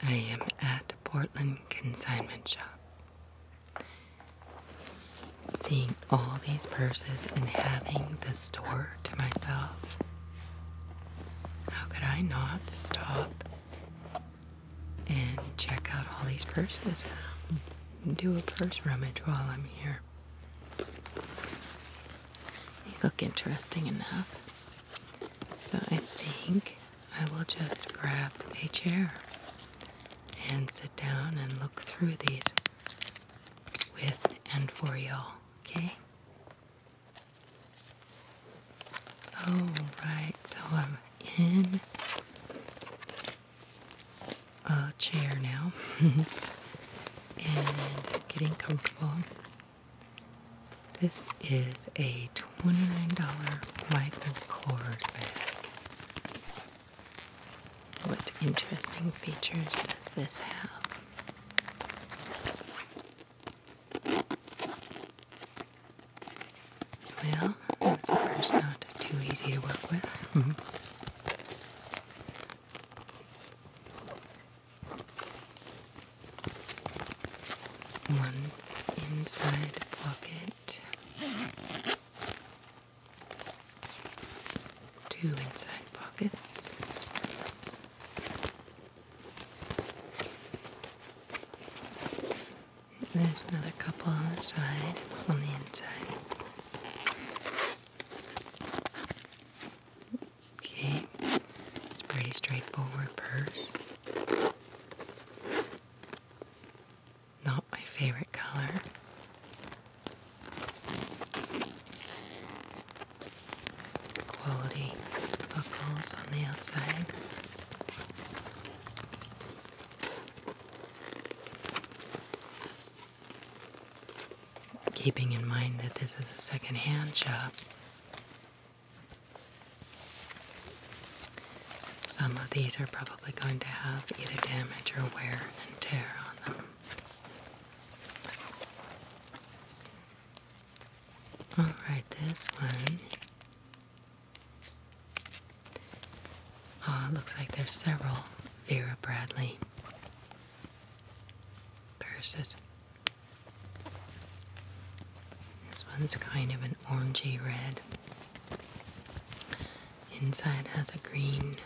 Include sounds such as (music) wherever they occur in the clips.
I am at Portland Consignment Shop. Seeing all these purses and having the store to myself. How could I not stop and check out all these purses. Do a purse rummage while I'm here. These look interesting enough. So I think I will just grab a chair and sit down and look through these with and for y'all, okay? Oh, so I'm in a chair now (laughs) and getting comfortable. This is a $29 Michael Kors bag. What interesting features does this have? Well, that's the first not too easy to work with. Mm-hmm. One inside pocket, two inside pockets. There's another couple on the side, on the inside. Okay, it's pretty straightforward purse. Not my favorite color. Quality buckles on the outside. Keeping in mind that this is a second hand shop, some of these are probably going to have either damage or wear and tear on them. Alright, this one Oh, looks like there's several Vera Bradley purses. This one's kind of an orangey red. Inside has a green.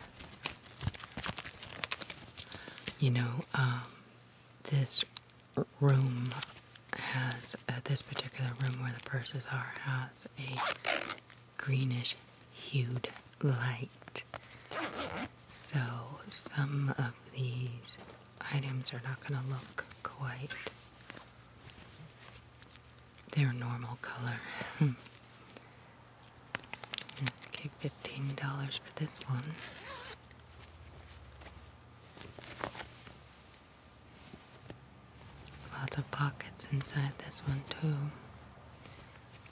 You know, um, this room has, uh, this particular room where the purses are, has a greenish hued light. So some of these items are not going to look quite their normal color. Hmm. okay, $15 for this one. Lots of pockets inside this one, too.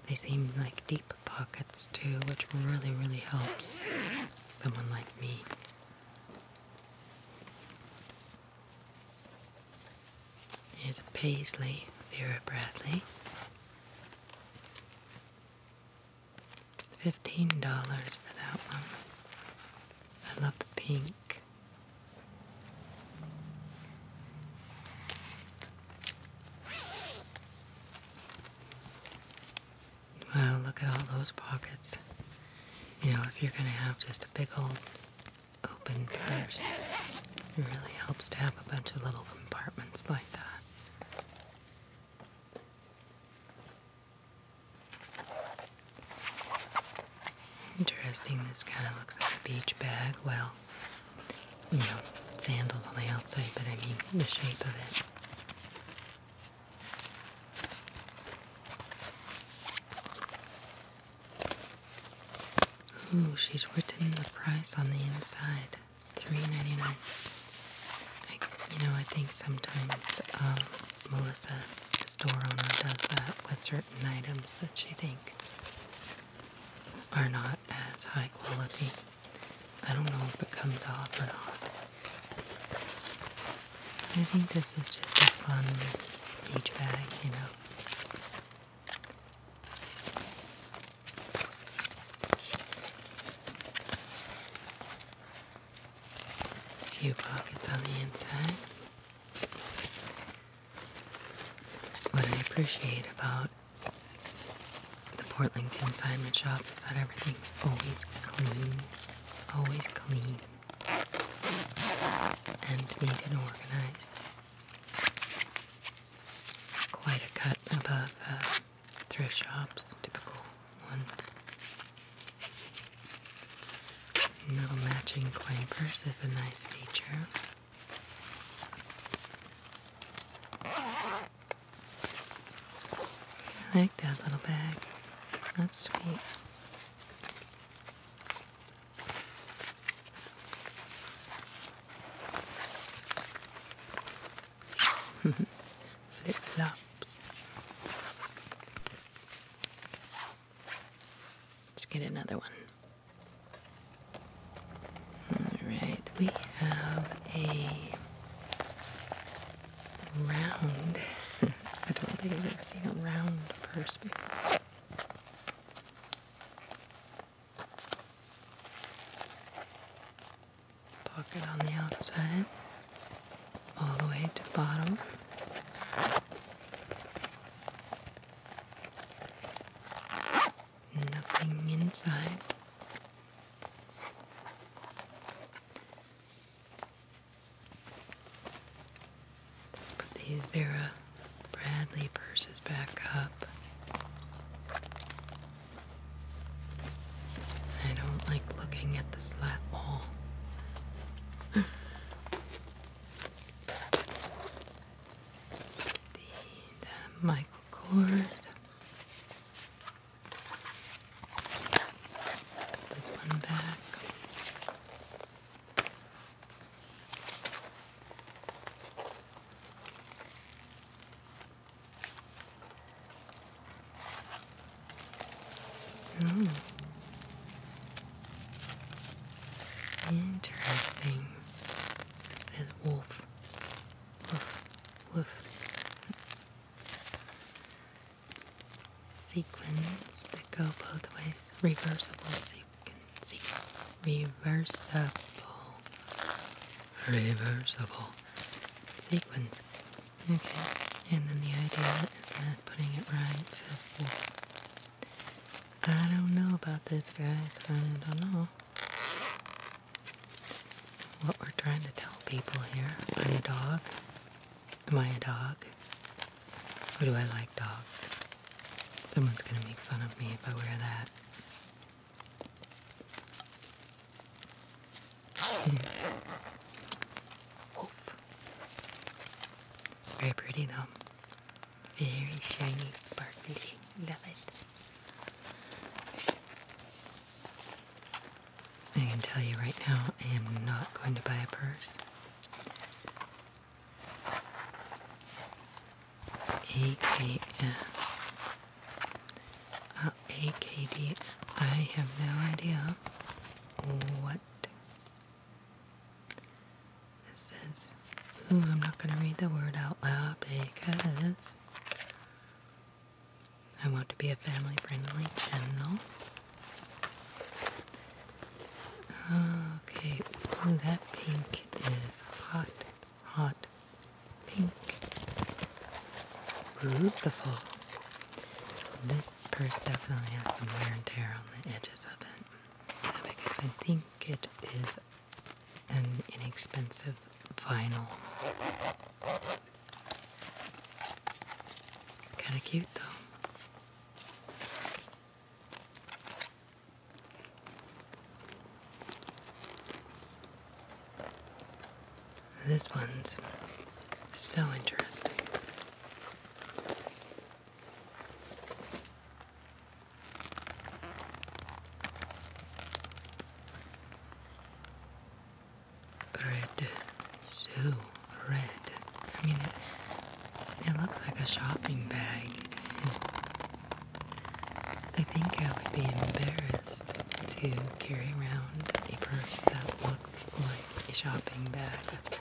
They seem like deep pockets, too, which really, really helps someone like me. Here's a paisley, Vera Bradley. $15 for that one. I love the pink. Well, look at all those pockets. You know, if you're going to have just a big old open purse, it really helps to have a bunch of little compartments like that. Interesting, this kind of looks like a beach bag. Well, you know, sandals on the outside, but I mean the shape of it. Ooh, she's written the price on the inside. Three ninety nine. You know, I think sometimes um, Melissa, the store owner, does that with her items that she thinks are not as high quality. I don't know if it comes off or not. I think this is just a fun beach bag, you know. few pockets on the inside. What I appreciate about the Portland consignment shop is that everything's always clean, always clean, and neat and organized. Quite a cut above uh, thrift shops, typical ones. Little matching coin purse is a nice feature. I like that little bag. That's sweet. (laughs) Flip flops. Let's get another one. Alright, we have a round. (laughs) I don't think I've ever seen a round purse before. Pocket on the outside, all the way to the bottom. Nothing inside. let put these Vera Bradley purses back up. I don't like looking at the slat wall. (laughs) the, the Michael Kors. Put this one back. Mm. Interesting, says Wolf. Woof, woof. Sequins that go both ways. Reversible sequence. Reversible. Reversible sequins. Okay, and then the idea is that putting it right says wolf. I don't know about this, guys. I don't know what we're trying to tell people here. Am I a dog? Am I a dog? Or do I like dogs? Someone's gonna make fun of me if I wear that. It's hmm. Very pretty though. Very shiny, sparkly. Love it. I can tell you right now, I am not going to buy a purse. AKS. Oh, have no idea what this is. I'm not going to read the word out loud because I want to be a family friendly channel. Okay, that pink is hot, hot pink. Beautiful. This purse definitely has some wear and tear on the edges of it because I think it is an inexpensive vinyl. Kind of cute though. This one's so interesting. Red, so red. I mean, it, it looks like a shopping bag. I think I would be embarrassed to carry around a purse that looks like a shopping bag.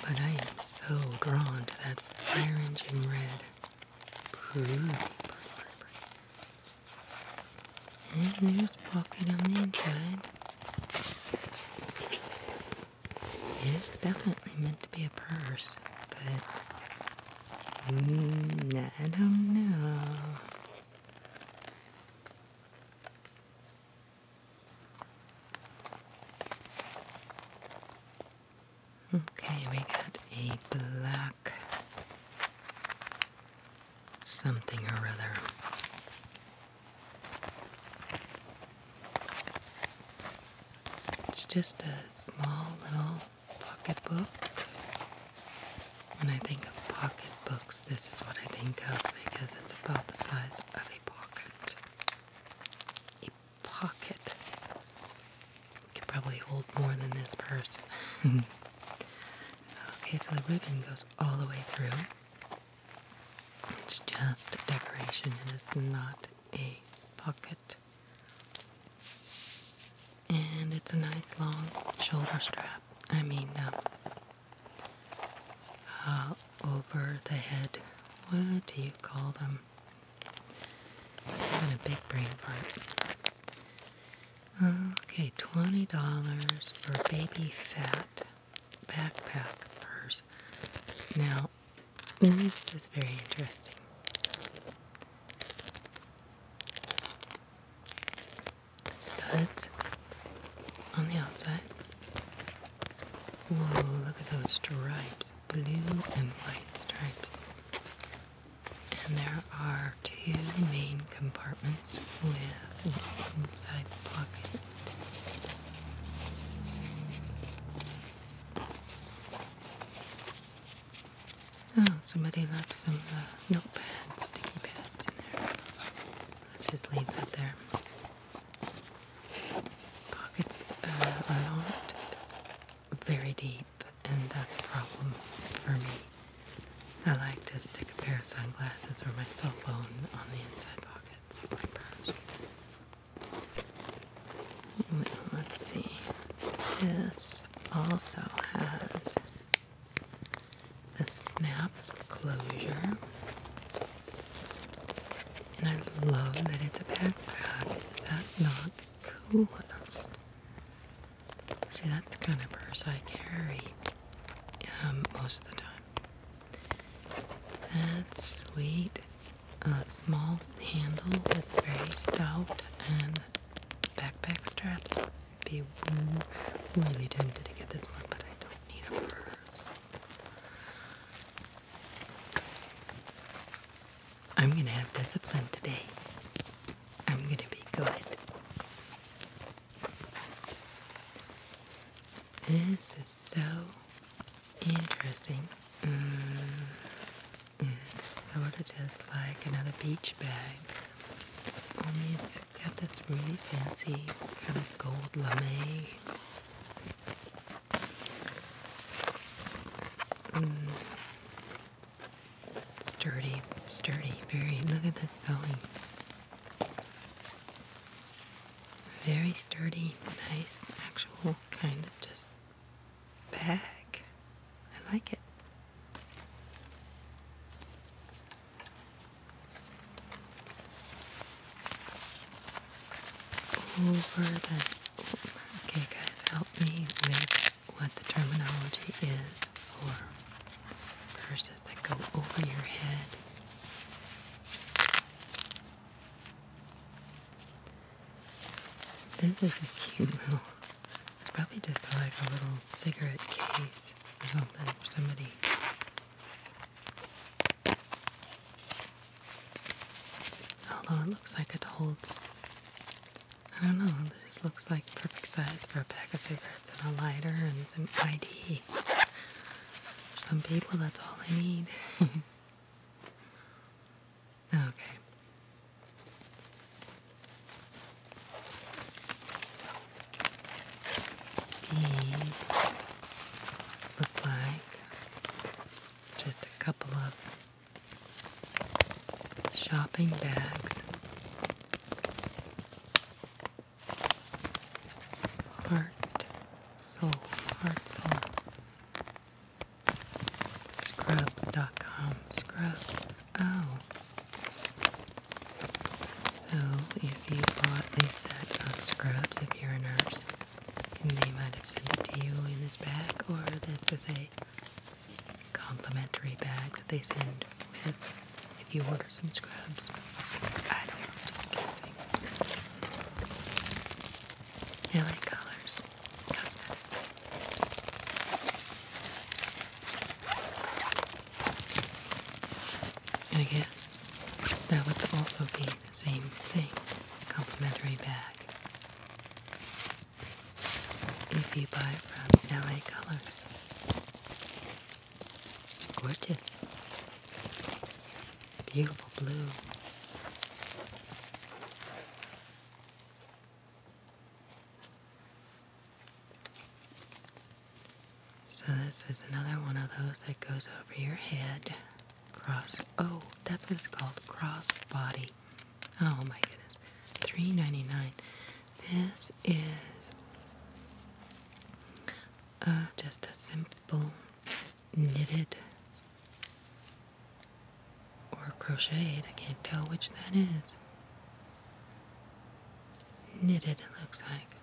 But I am so drawn to that fire engine red. And there's pocket on the inside. It's definitely meant to be a purse, but mm, I don't know. Okay, we got a black something or other. It's just a small little pocketbook. When I think of pocket books, this is what I think of because it's about the size of a pocket. A pocket. can probably hold more than this purse. Mm-hmm. okay, so the ribbon goes all the way through. It's just decoration and it's not a pocket. And it's a nice long shoulder strap. I mean, um, uh, over the head. What do you call them? i a big brain fart. Okay, $20 for baby fat backpack purse. Now, this is very interesting studs on the outside. Whoa, look at those stripes. Blue and white stripes. And there are two main compartments with inside pocket. Oh, somebody left some uh, notepads, sticky pads in there. Let's just leave that there. Pockets uh, are not very deep, and that's a problem for me. I like to stick a pair of sunglasses or my cell phone on the inside pockets of my purse. let's see. This also has a snap closure. And I love that it's a backpack. Is that not coolest? See, that's the kind of purse I carry um, most of the time. That's sweet. A small handle that's very stout and backpack straps. be really tempted to get this one, but I don't need a purse. I'm going to have discipline today. I'm going to be good. This is so interesting. it's mm, mm, sort of just like another beach bag, only it's Got this really fancy kind of gold lame. Mm. Sturdy, sturdy, very. Look at this sewing. Very sturdy, nice, actual kind of just bag. I like it over the, okay guys, help me with what the terminology is for purses that go over your head. This is a cute little, it's probably just like a little cigarette case or something. for Somebody Although it looks like it holds, I don't know, this looks like perfect size for a pack of cigarettes and a lighter and some ID. For some people, that's all they need. (laughs) okay. These look like just a couple of shopping bags. Heart, soul, heart, soul. Scrubs.com. Scrubs. Oh. So, if you bought a set of scrubs, if you're a nurse, they might have sent it to you in this bag, or this is a complimentary bag that they send with if you order some scrubs. I don't just guessing. LA Colors I guess that would also be the same thing, complimentary bag. If you buy it from LA Colors. Gorgeous. Beautiful blue. So this is another one of those that goes over your head. Cross oh, that's what it's called. Cross body. Oh my goodness. three ninety nine. This is uh, just a simple knitted or crocheted. I can't tell which that is. Knitted, it looks like.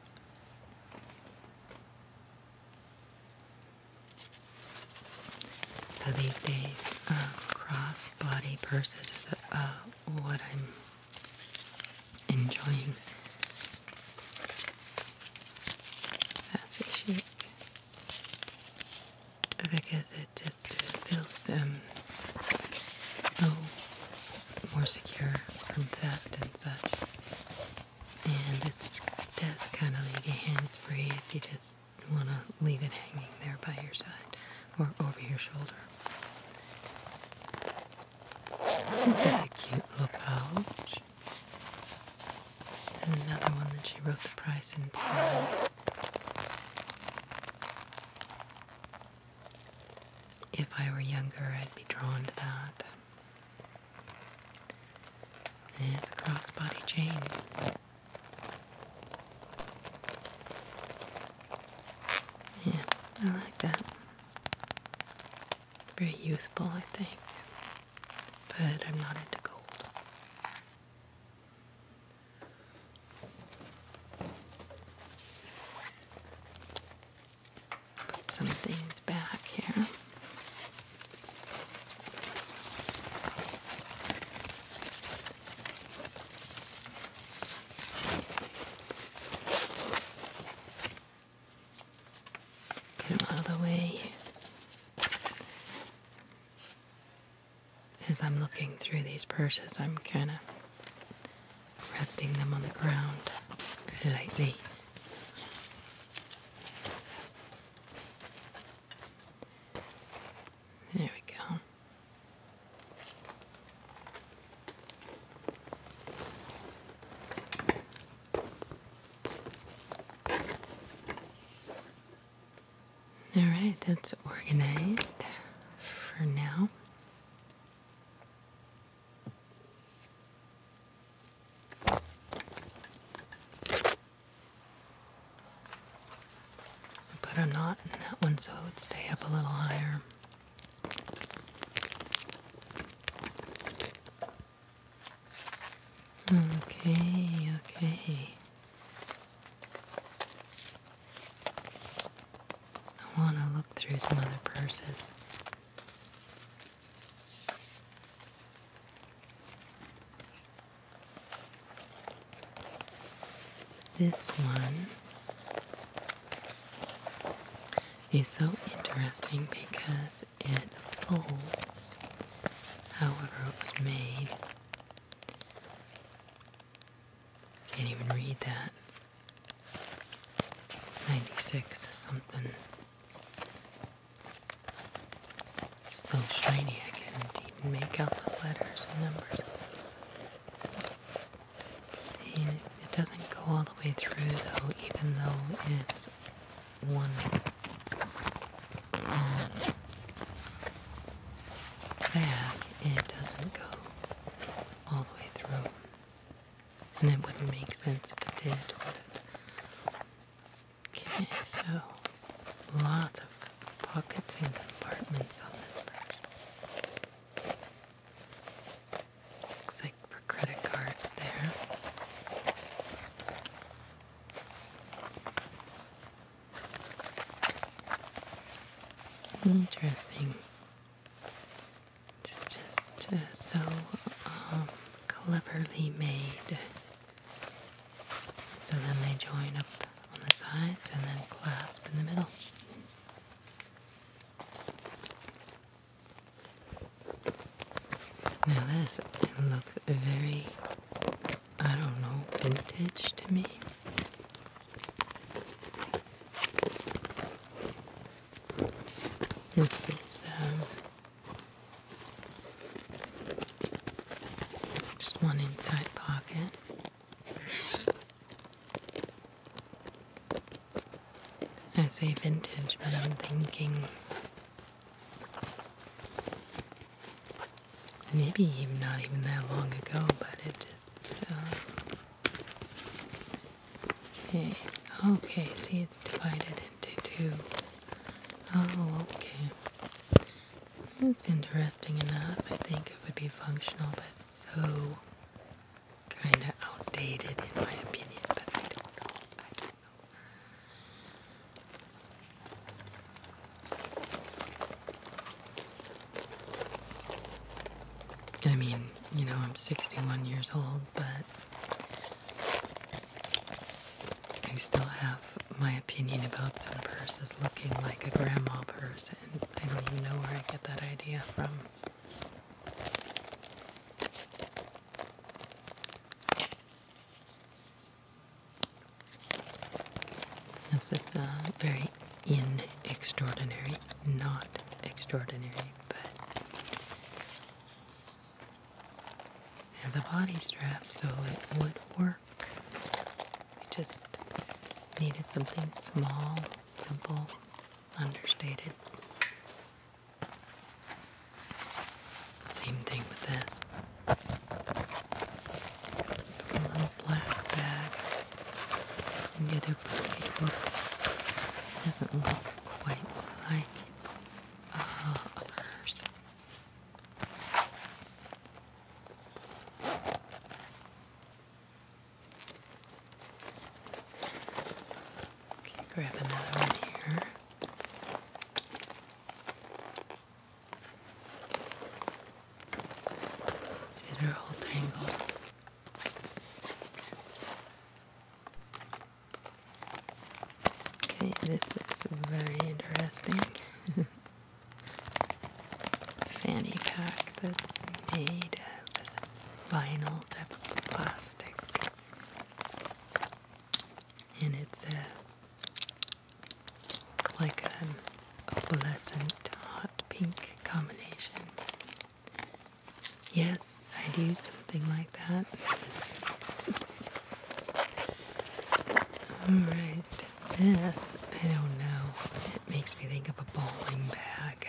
So these days, uh, crossbody cross purses is uh, what I'm enjoying. Sassy chic. Because it just feels um, oh, more secure from theft and such and it does kind of leave your hands free if you just want to leave it hanging there by your side or over your shoulder. It's a cute little pouch. And another one that she wrote the price in If I were younger, I'd be drawn to that. It's a crossbody chain. Yeah, I like that. Very youthful, I think. But I'm not into gold. Put some things back here. Get them the way. As I'm looking through these purses, I'm kind of resting them on the ground lightly. There we go. All right, that's organized for now. Put a knot in that one so it would stay up a little higher. Okay, okay. I want to look through some other purses. This one is so interesting because it folds however it was made. Can't even read that. 96 something. It's still shiny, I can't even make out the letters and numbers. See, it doesn't go all the way through though, even though it's one. Um, back, it doesn't go all the way through and it wouldn't make sense if it did, Okay, so lots of pockets and compartments on this purse. Looks like for credit cards there. Interesting. It's just uh, so um, cleverly made. So then they join up on the sides and then clasp in the middle. Now this looks very, I don't know, vintage to me. This is um, just one inside pocket. I say vintage, but I'm thinking maybe not even that long ago, but it just. Uh, Okay, okay, see it's divided into two. Oh, okay. That's interesting enough. I think it would be functional, but so kind of outdated in my opinion, but I don't know. I mean, you know, I'm 61 years old, but I still have my opinion about some purses looking like a grandma purse, and I don't even know where I get that idea from. This is uh, very in extraordinary, not extraordinary, but has a body strap, so it would work. We just needed something small, simple, understated. Same thing with this. Just a little black bag. And the other pocket book doesn't look quite like uh, Okay, grab another one here. See, they're all tangled. Okay, this is very interesting. (laughs) Fanny pack that's made of vinyl type of plastic. And it's a like an opalescent hot pink combination. Yes, I do something like that. Alright, this, I don't know. It makes me think of a bowling bag.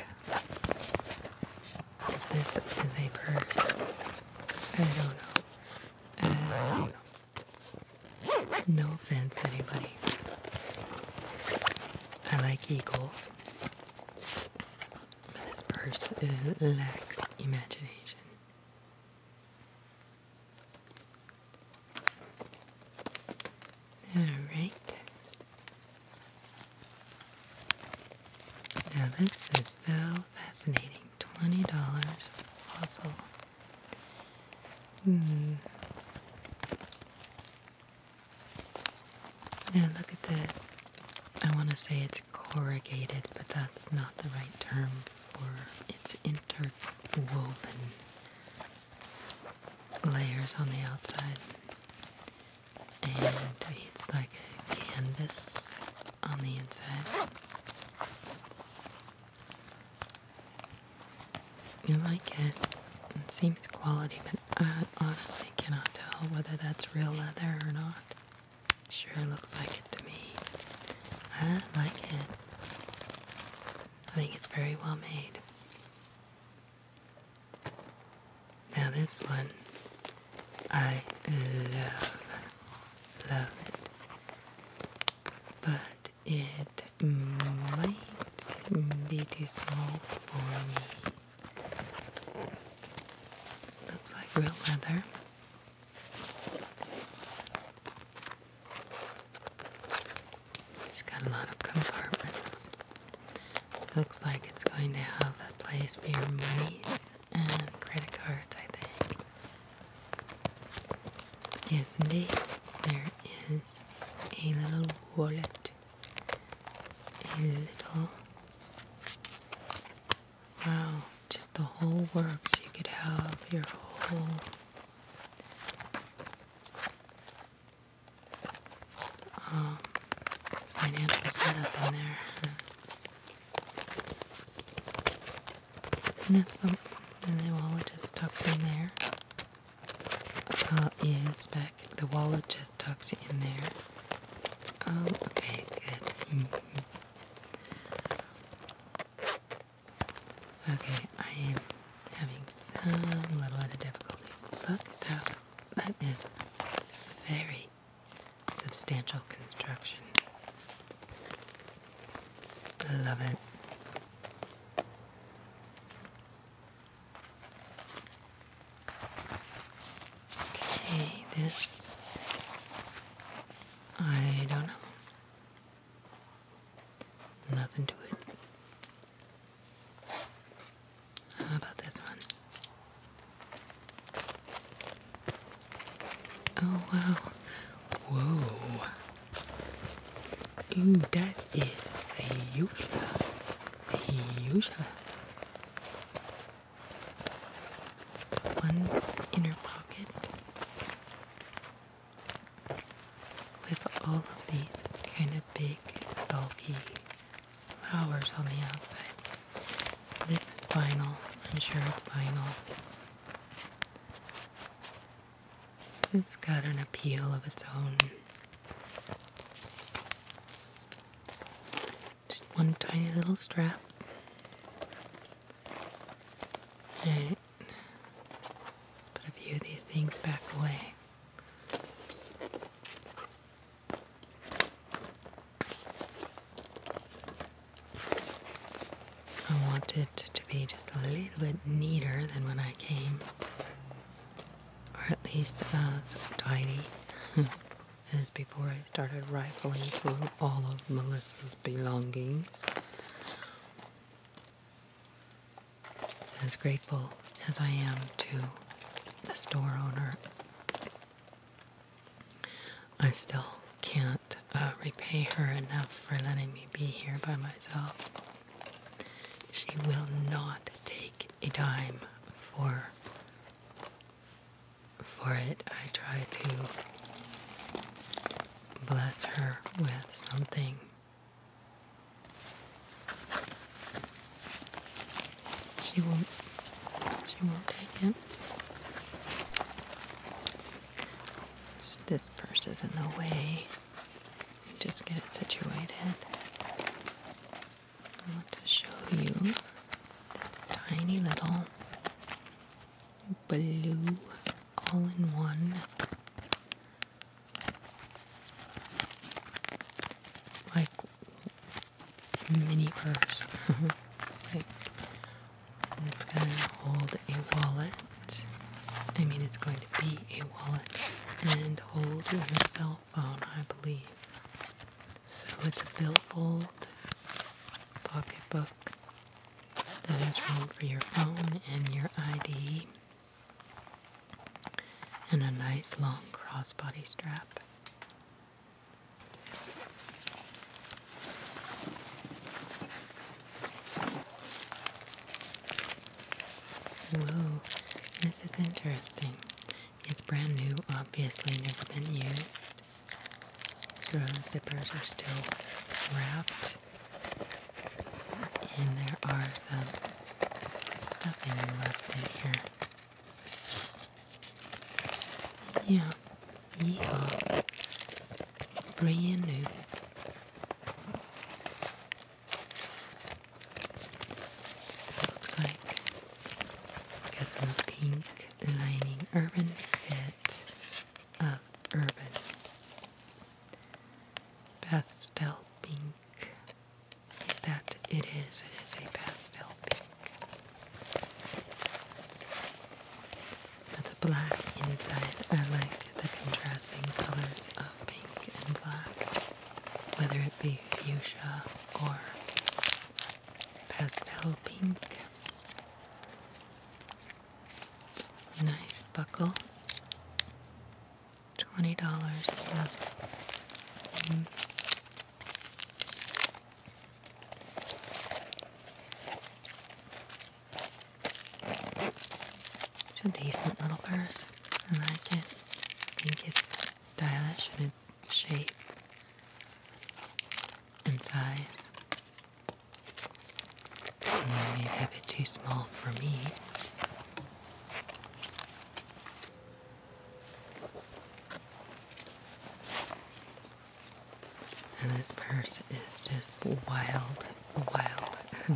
this is a purse, I don't know. No offense, anybody. I like eagles. This person lacks imagination. Alright. Now this is so fascinating. $20 puzzle. Hmm. Yeah, look at that. I want to say it's corrugated, but that's not the right term for it's interwoven layers on the outside. And it's like a canvas on the inside. You like it. It seems quality, but I honestly cannot tell whether that's real leather or not. Sure looks like it to me. I like it. I think it's very well made. Now this one, I love, love it. But it might be too small for me. Looks like real leather. It's got a lot of compartments. Looks like it's going to have a place for your monies and credit cards, I think. Yes, indeed. There is a little wallet, a little Wow, just the whole works. You could have your whole um, financial setup in there. And that's something. And the wallet just tucks in there. Uh, is back. The wallet just tucks in there. Oh, okay, good. Okay, I am having some little bit of difficulty. Look, that, that is very substantial construction. Love it. Okay, this I don't know. Nothing to it. How about this one? Oh wow. Whoa. Ooh, that is a fuchsia. Fuchsia. So one inner pocket with all of these kind of big, bulky flowers on the outside. This is vinyl. I'm sure it's vinyl. It's got an appeal of its own. Just one tiny little strap. Alright. put a few of these things back away. I want it to be just a little bit neater than when I came. Or at least about tidy. (laughs) as before I started rifling through all of Melissa's belongings. As grateful as I am to the store owner, I still can't uh, repay her enough for letting me be here by myself. She will not take a dime for for it, I try to bless her with something. She won't. She won't take it. this purse is in the way. Just get it situated. I want to show you this tiny little blue all in one like mini purse. Mm-hmm. like it's gonna hold a wallet. I mean it's going to be a wallet and hold your cell phone, I believe. So it's a billfold pocketbook that has room for your phone and your ID and a nice long crossbody strap. Whoa, this is interesting. It's brand new, obviously never been used. So zippers are still wrapped. And there are some stuffing left in here. Yeah, yeah, brand new. looks like we some pink lining, urban fit of urban. Pastel pink. That it is, it is a pastel pink. But the black inside, I like the contrasting colors of pink and black, whether it be fuchsia or pastel pink. Nice buckle. $20 worth. Mm. It's a decent little purse. I like it. I think it's stylish in its shape and size. Maybe a too small for me. And this purse is just wild, wild. (laughs)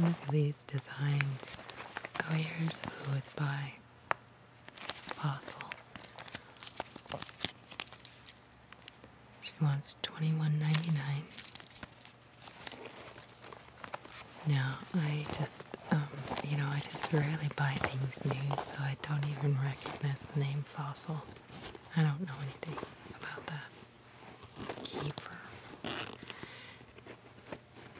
Look at these designs. Oh, here's who it's by fossil. She wants twenty one ninety nine. Now I just, um, you know, I just rarely buy things new, so I don't even recognize the name fossil. I don't know anything about that. Kiefer.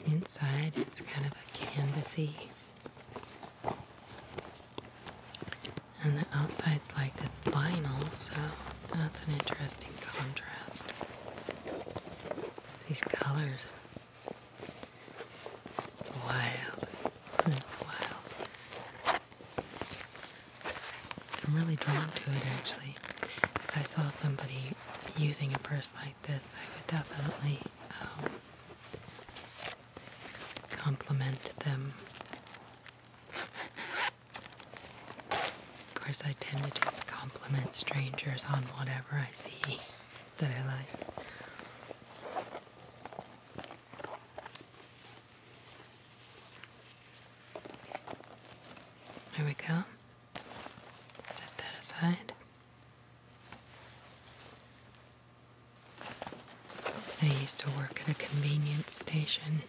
Inside it's kind of a canvasy, and the outside's like this vinyl, so that's an interesting contrast. These colors. It's wild. It's wild. I'm really drawn to it actually. If I saw somebody using a purse like this, I would definitely um, compliment them. Of course, I tend to just compliment strangers on whatever I see (laughs) that I like. There we go. Set that aside. I used to work at a convenience station.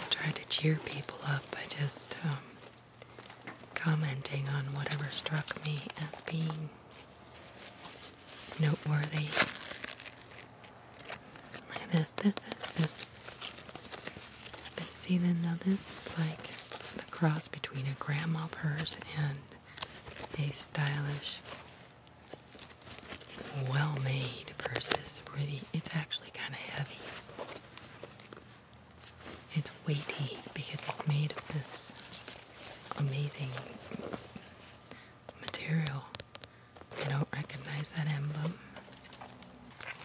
I tried to cheer people up by just um, commenting on whatever struck me as being noteworthy. Look at this. This is just see, then now this is like the cross between a grandma purse and a stylish, well-made purse. It's really, it's actually kind of heavy. It's weighty because it's made of this amazing material. I don't recognize that emblem,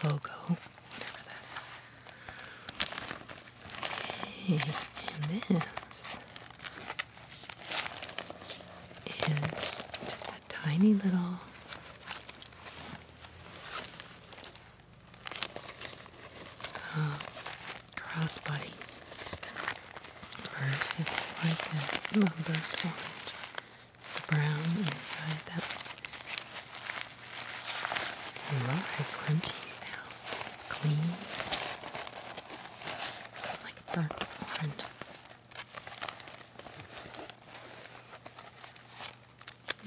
logo, whatever that is and this is just a tiny little uh, crossbody. First, it's like a burnt orange. The brown inside that love her crunchy It's clean. like burnt orange.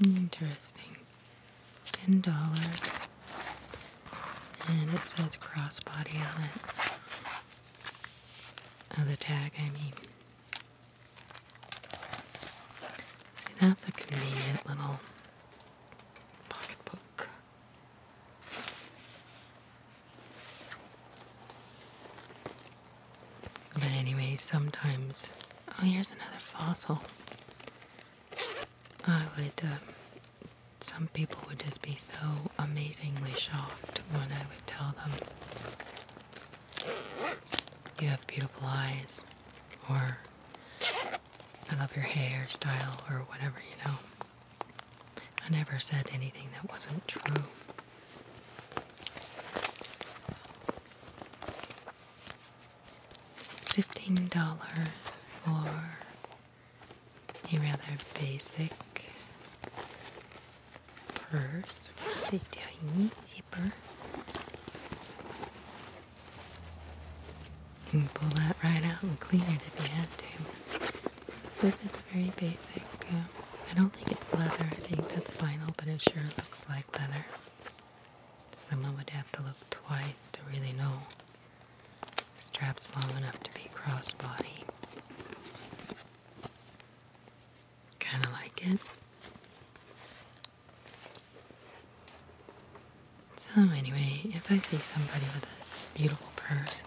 Interesting. Ten dollars. And it says crossbody on it. Oh, the tag, I mean. See, that's a convenient little pocketbook. But anyway, sometimes. Oh, here's another fossil. I would. Um, some people would just be so amazingly shocked when I would tell them, You have beautiful eyes or I love your hairstyle or whatever, you know. I never said anything that wasn't true. Fifteen dollars for a rather basic purse a tiny zipper. You can pull that right out and clean it if you had to. but it's very basic. I don't think it's leather. I think that's vinyl, but it sure looks like leather. Someone would have to look twice to really know. strap's long enough to be crossbody. Kind of like it. So, anyway, if I see somebody with a beautiful purse,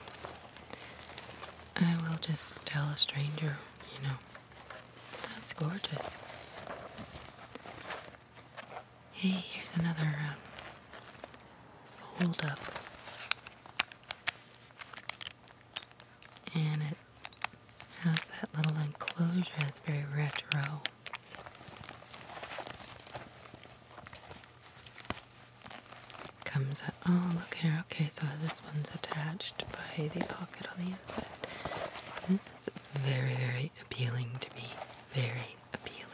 I will just tell a stranger, you know, that's gorgeous. Hey, here's another um, up. And it has that little enclosure It's very retro. Comes out. Oh, look here. Okay, so this one's attached by the pocket on the inside. This is very, very appealing to me. Very appealing.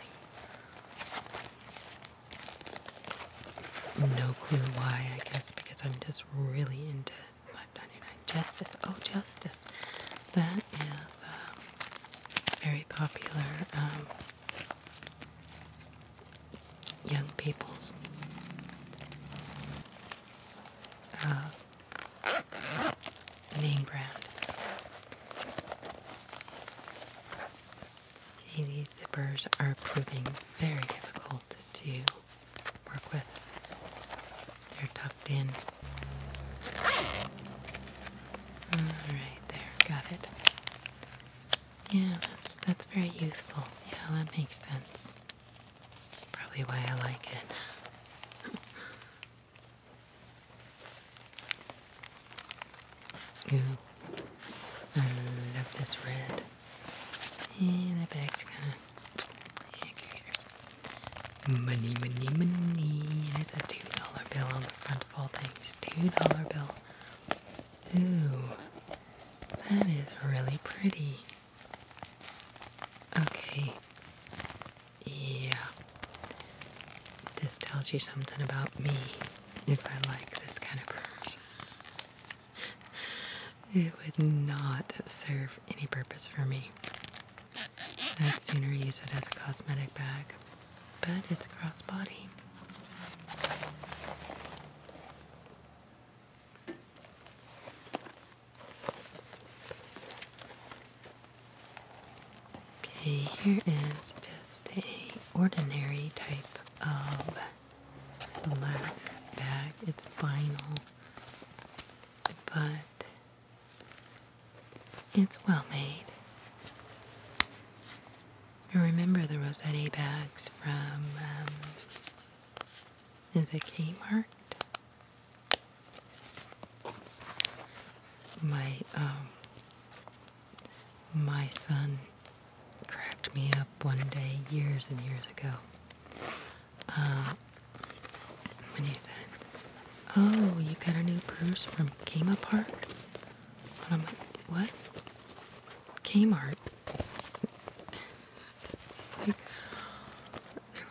No clue why, I guess, because I'm just really into 5.99. Justice. Oh, Justice. That is uh, very popular. Um, young people's uh, name brand. Okay, these zippers are proving very difficult to work with. They're tucked in. Alright, there, got it. Yeah, that's that's very youthful. Yeah, that makes sense. Probably why I like it. Ooh. I love this red. And the bag's kinda yeah, Money, money, money. There's a two dollar bill on the front of all things. Two dollar bill. Ooh, that is really pretty. Okay. Yeah. This tells you something about me if I like this kind of purse. (laughs) it would not serve any purpose for me. I'd sooner use it as a cosmetic bag, but it's crossbody. Okay, here is just a ordinary type of black bag. It's vinyl, but it's well made. I remember the Rossetti bags from, um, is it marked? My, um, my son cracked me up one day years and years ago uh, when you said, "Oh, you got a new purse from Kmart." Apart." I'm like, "What? Kmart?" (laughs) there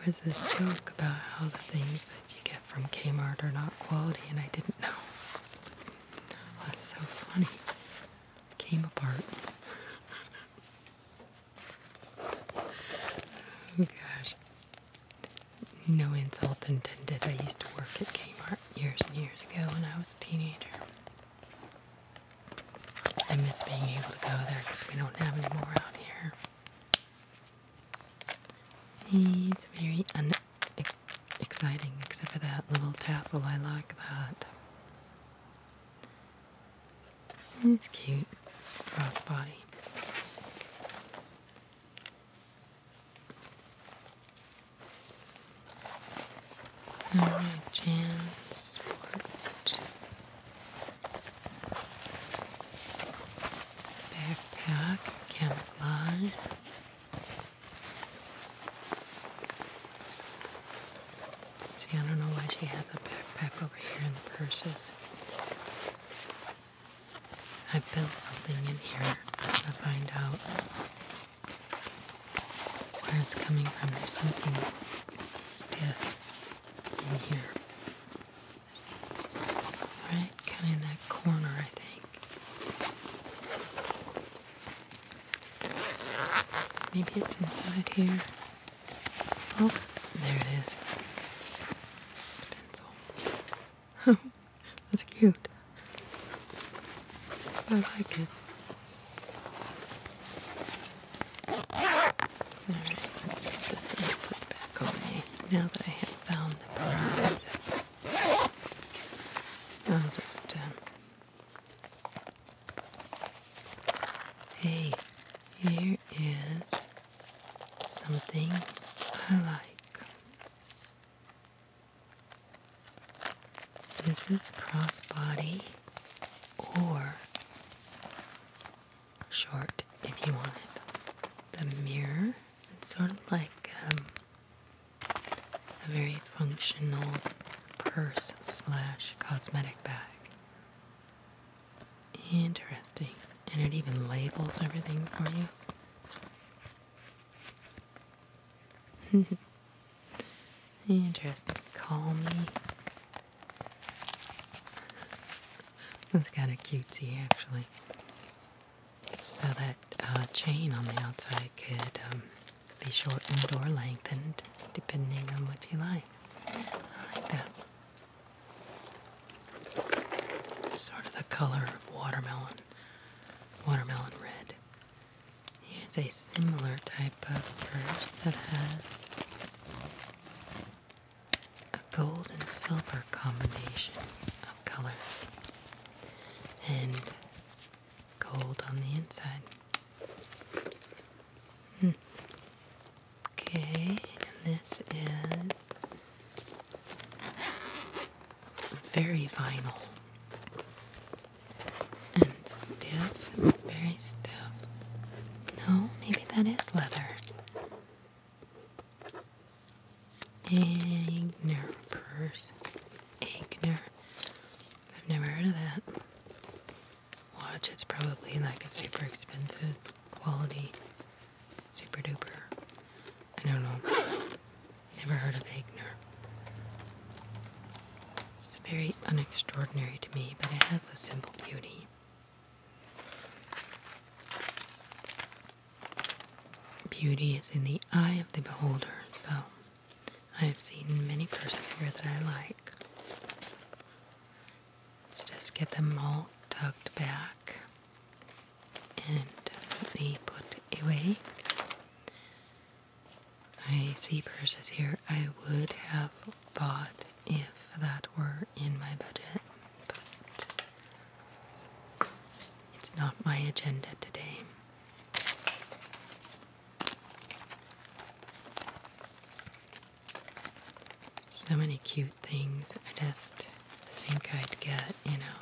was this joke about how the things that you get from Kmart are not quality, and I didn't know. that's so funny. Kmart. (laughs) Oh gosh. No insult intended. I used to work at Kmart years and years ago when I was a teenager. I miss being able to go there because we don't have any more out here. It's very unexciting except for that little tassel. I like that. It's cute. Crossbody. Alright, Jansport. Backpack, camouflage. See, I don't know why she has a backpack over here in the purses. I built something in here. I'm gonna find out where it's coming from. There's something stiff in here. Right kind of in that corner, I think. Maybe it's inside here. Oh, there it is pencil. (laughs) That's cute. I like it. Alright, let's get this thing put back on me now that I have found the prize. I'll just, um... Hey, here is something I like. This is crossbody or short if you want it. The mirror, it's sort of like um, a very functional purse slash cosmetic bag. Interesting. And it even labels everything for you. (laughs) Interesting. Call me. That's kind of cutesy, actually. So that uh, chain on the outside could um, be shortened or lengthened, depending on what you like. I like that. Sort of the color of watermelon, watermelon red. It's a similar type of purse that has a gold and silver combination of colors and gold on the inside. Hmm. Okay, and this is very vinyl and stiff, very stiff. No, maybe that is leather. Agner purse. Agner. I've never heard of that. Watch, it's probably like a super expensive quality super duper. I don't know. Never heard of Egner. It's very unextraordinary to me, but it has a simple beauty. Beauty is in the eye of the beholder, so I have seen many persons here that I like. Let's just get them all tucked back and neatly put away. I see purses here I would have bought if that were in my budget, but it's not my agenda today. So many cute things. I just think I'd get, you know,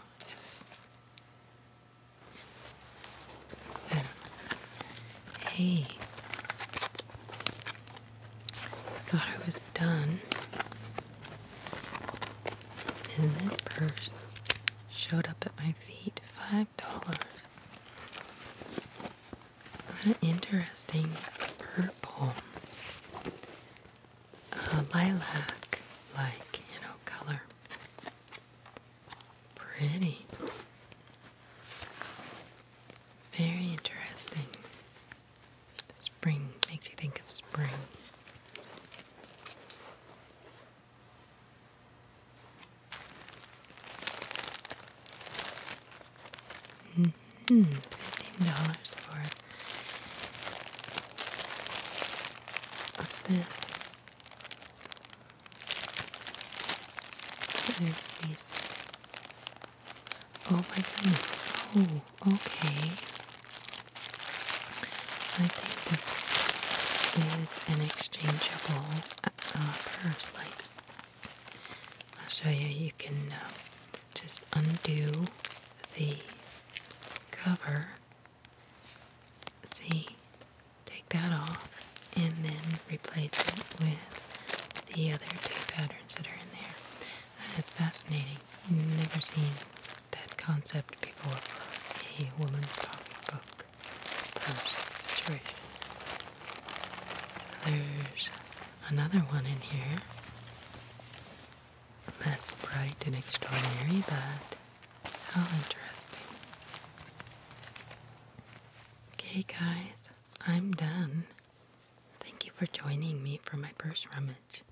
Hey. Thought I was done. And this purse showed up at my feet. Five dollars. What an interesting purple. Uh, lilac, like, you know, color. Pretty. Very interesting. Spring makes you think of spring. -hmm. $15 for What's this? There's these. Oh my goodness. Oh, okay. So I think this is an exchangeable uh, purse. Like, I'll show you. You can uh, just undo the cover. See, take that off and then replace it with the other two patterns that are in there. That is fascinating. Never seen that concept before for a woman's pocketbook purse situation. there's another one in here. Less bright and extraordinary, but how interesting. Okay, guys, I'm done. Thank you for joining me for my purse rummage.